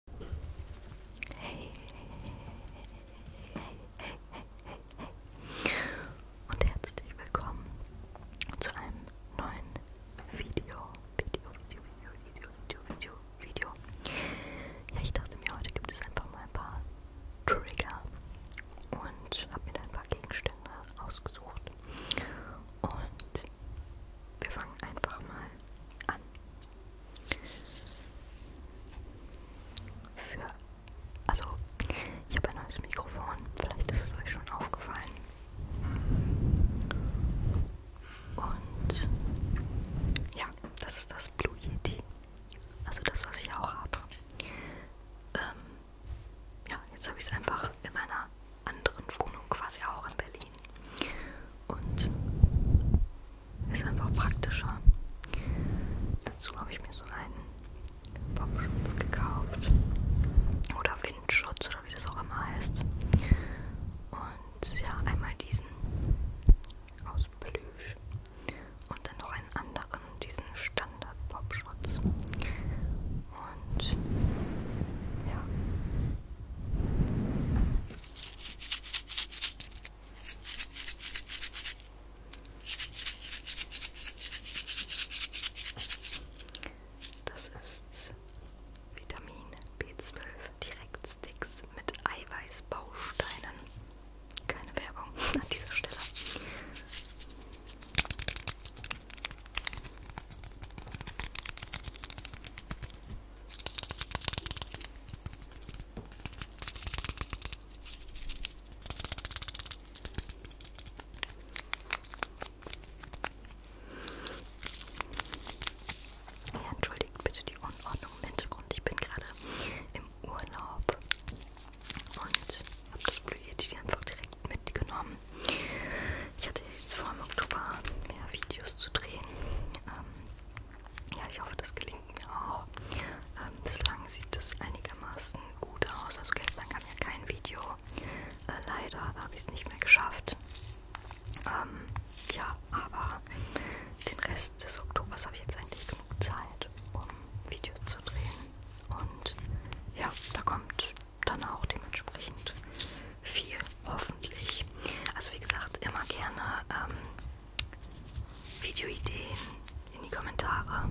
Hey, hey, hey, hey, hey, hey. Und herzlich willkommen zu einem neuen Video. Video, Video, Video, Video, Video, Video, Video. Ja, ich dachte mir, heute gibt es einfach mal ein paar Trigger und habe mir da ein paar Gegenstände ausgesucht. Und wir fangen einfach mal an. Für, also, ich habe ein neues Mikrofon. Vielleicht ist es euch schon aufgefallen. Und ja, das ist das Blue Yeti. Also das, was ich auch habe. Ähm, ja, jetzt habe ich es einfach in meiner meiner anderen Wohnung quasi auch in Berlin. Und ist einfach praktischer. Dazu habe ich mir so einen Popschutz gekauft. Oder Windschutz oder wie das auch immer heißt. Und ja, einmal diesen aus Plüsch. Und dann noch einen anderen, diesen Standard-Popschutz. Und ja, das ist Vitamin B12 Direktsticks mit Eiweißbausteinen. Keine Werbung an dieser Stelle. Ja, entschuldigt bitte die Unordnung im Hintergrund. Ich bin gerade im Urlaub und habe das Blühe einfach direkt mitgenommen ich hatte jetzt vor im Oktober mehr Videos zu drehen. Ähm, ja, ich hoffe, das gelingt mir auch. Ähm, bislang sieht es einigermaßen gut aus. Also gestern kam ja kein Video. Äh, leider habe ich es nicht mehr geschafft. Ähm, ja, aber den Rest des Oktobers habe ich jetzt eigentlich genug Zeit, um Videos zu drehen. Und ja, da kommt dann auch dementsprechend viel, hoffentlich. Also wie gesagt, immer gerne ähm, Videoideen in die Kommentare.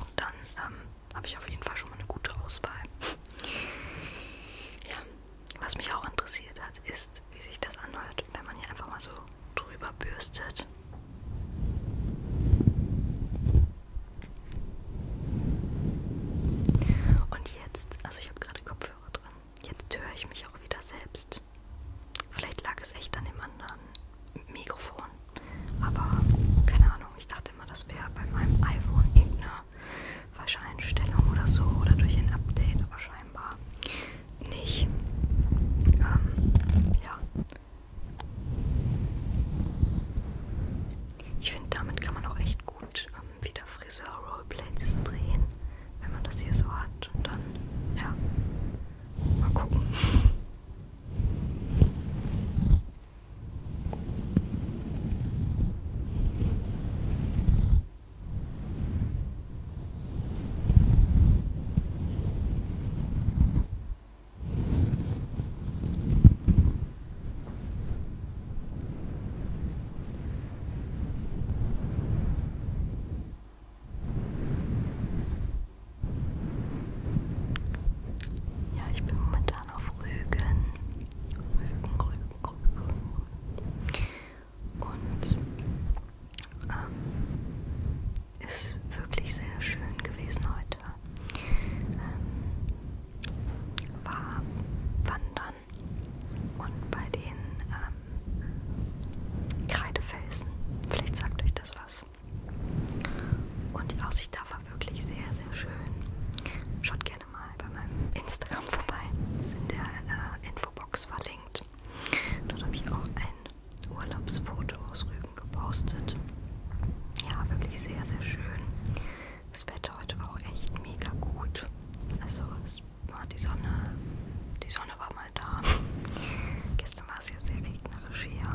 Und dann ähm, habe ich auf jeden Fall schon mal eine gute Auswahl. ja, was mich auch interessiert hat, ist, wie sich das anhört, wenn man hier einfach mal so drüber bürstet. Und jetzt, also ich habe gerade Kopfhörer drin, jetzt höre ich mich auch wieder selbst. Vielleicht lag es echt an dem anderen Mikrofon, aber keine Ahnung, ich dachte immer, das wäre bei meinem iPhone irgendeine falsche Einstellung oder so oder durch ein Update, aber scheinbar nicht. Ähm, ja, ich finde, damit kann man auch echt gut ähm, wieder Friseur-Roleplays drehen, wenn man das hier so hat. Und dann, ja, mal gucken. Ja, ich bin momentan auf Rügen. Rügen, Rügen, Rügen. Und ähm, ist wirklich sehr schön gewesen heute. Ähm, war wandern und bei den ähm, Kreidefelsen. Vielleicht sagt euch das was. Und die Aussicht da war wirklich sehr, sehr schön. Schaut gerne mal bei meinem Instagram vorbei. Ist in der äh, Infobox verlinkt. Dort habe ich auch ein Urlaubsfoto aus Rügen gepostet. Ja, wirklich sehr, sehr schön. Das Wetter heute war auch echt mega gut. Also es war die Sonne, die Sonne war mal da. Gestern war es ja sehr regnerisch hier.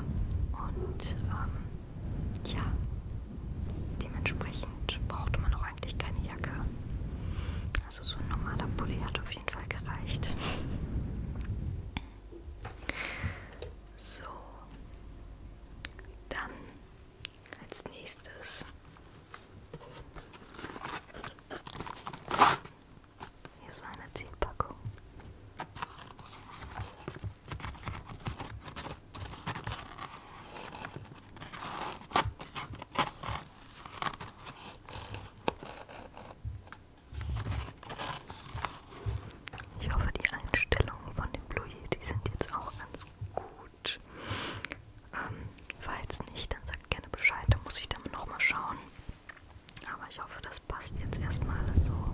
Und ähm, ja, dementsprechend brauchte man auch eigentlich keine Jacke. Also so ein normaler Pulli hatte auf jeden Fall gereicht. So, dann als nächstes hier ist eine Teepackung. Ich hoffe, die Einstellungen von dem Blue Yeti sind jetzt auch ganz gut. Ähm, falls nicht, dann sagt gerne Bescheid, da muss ich dann nochmal schauen. Aber ich hoffe, das passt jetzt erstmal alles so.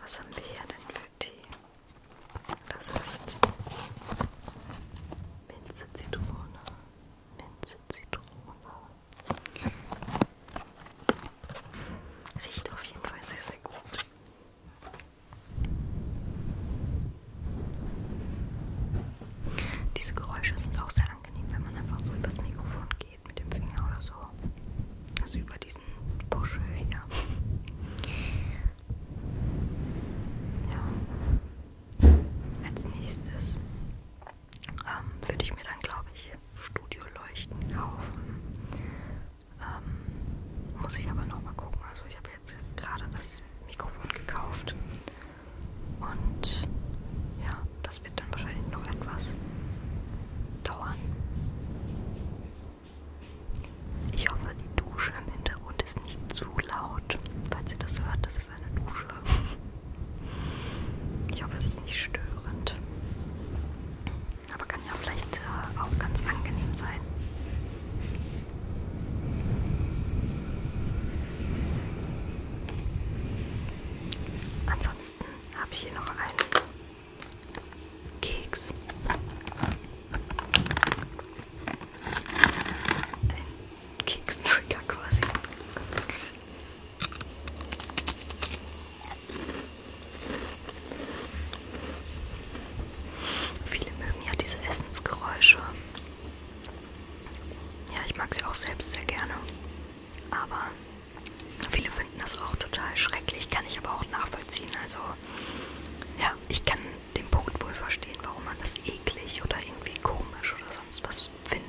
Was haben wir hier denn für Tee? Das ist Minze Zitrone, Minze Zitrone, Riecht auf jeden Fall sehr, sehr gut. Diese Geräusche sind auch sehr angenehm, wenn man einfach so übers Mikrofon geht mit dem Finger oder so. Also über diesen Buschel hier. Ja. Als nächstes ähm, würde ich mir dann, glaube ich, Studioleuchten kaufen. Ähm, muss ich aber nochmal gucken. Also ich habe jetzt gerade das Mikrofon gekauft. Und ja, das wird dann wahrscheinlich noch etwas dauern. Ich hoffe, die Dusche im Hintergrund ist nicht zu laut. Falls ihr das hört, das ist ist eine Dusche. Ich hoffe, es ist nicht störend. Aber kann ja vielleicht äh, auch ganz angenehm sein. Ansonsten habe ich hier noch einen Keks. Ein Keks Trigger quasi. Viele mögen ja diese Essensgeräusche. Ja, ich mag sie auch selbst sehr gerne. Aber viele finden das auch total schrecklich, kann ich aber auch nachvollziehen. Also ja, ich kann den Punkt wohl verstehen, warum man das eklig oder irgendwie komisch oder sonst was findet.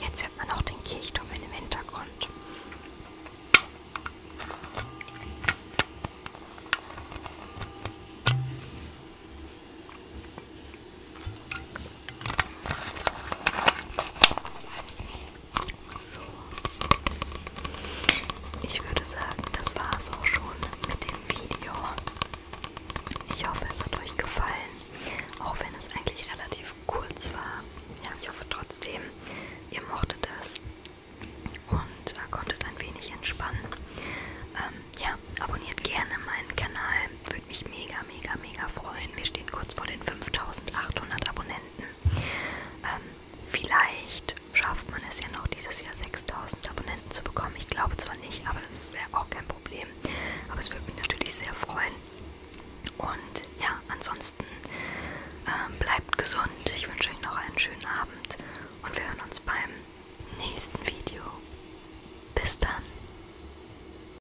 Jetzt hört man auch den Kirchturm im Hintergrund. So. Ich würde sagen, das war es auch schon mit dem Video. Ich hoffe, es hat euch gefallen. Auch wenn es eigentlich relativ kurz war. Ja, ich hoffe trotzdem, ihr mochtet es und äh, konntet ein wenig entspannen. Ähm, ja, abonniert gerne meinen Kanal. Würde mich mega, mega, mega freuen immerhin, wir stehen kurz vor den 5800 Abonnenten. Ähm, vielleicht schafft man es ja noch dieses Jahr 6000 Abonnenten zu bekommen. Ich glaube zwar nicht, aber das wäre auch kein Problem. Aber es würde mich natürlich sehr freuen. Und ja, ansonsten ähm, bleibt gesund. Ich wünsche euch noch einen schönen Abend und wir hören uns beim nächsten Video. Bis dann.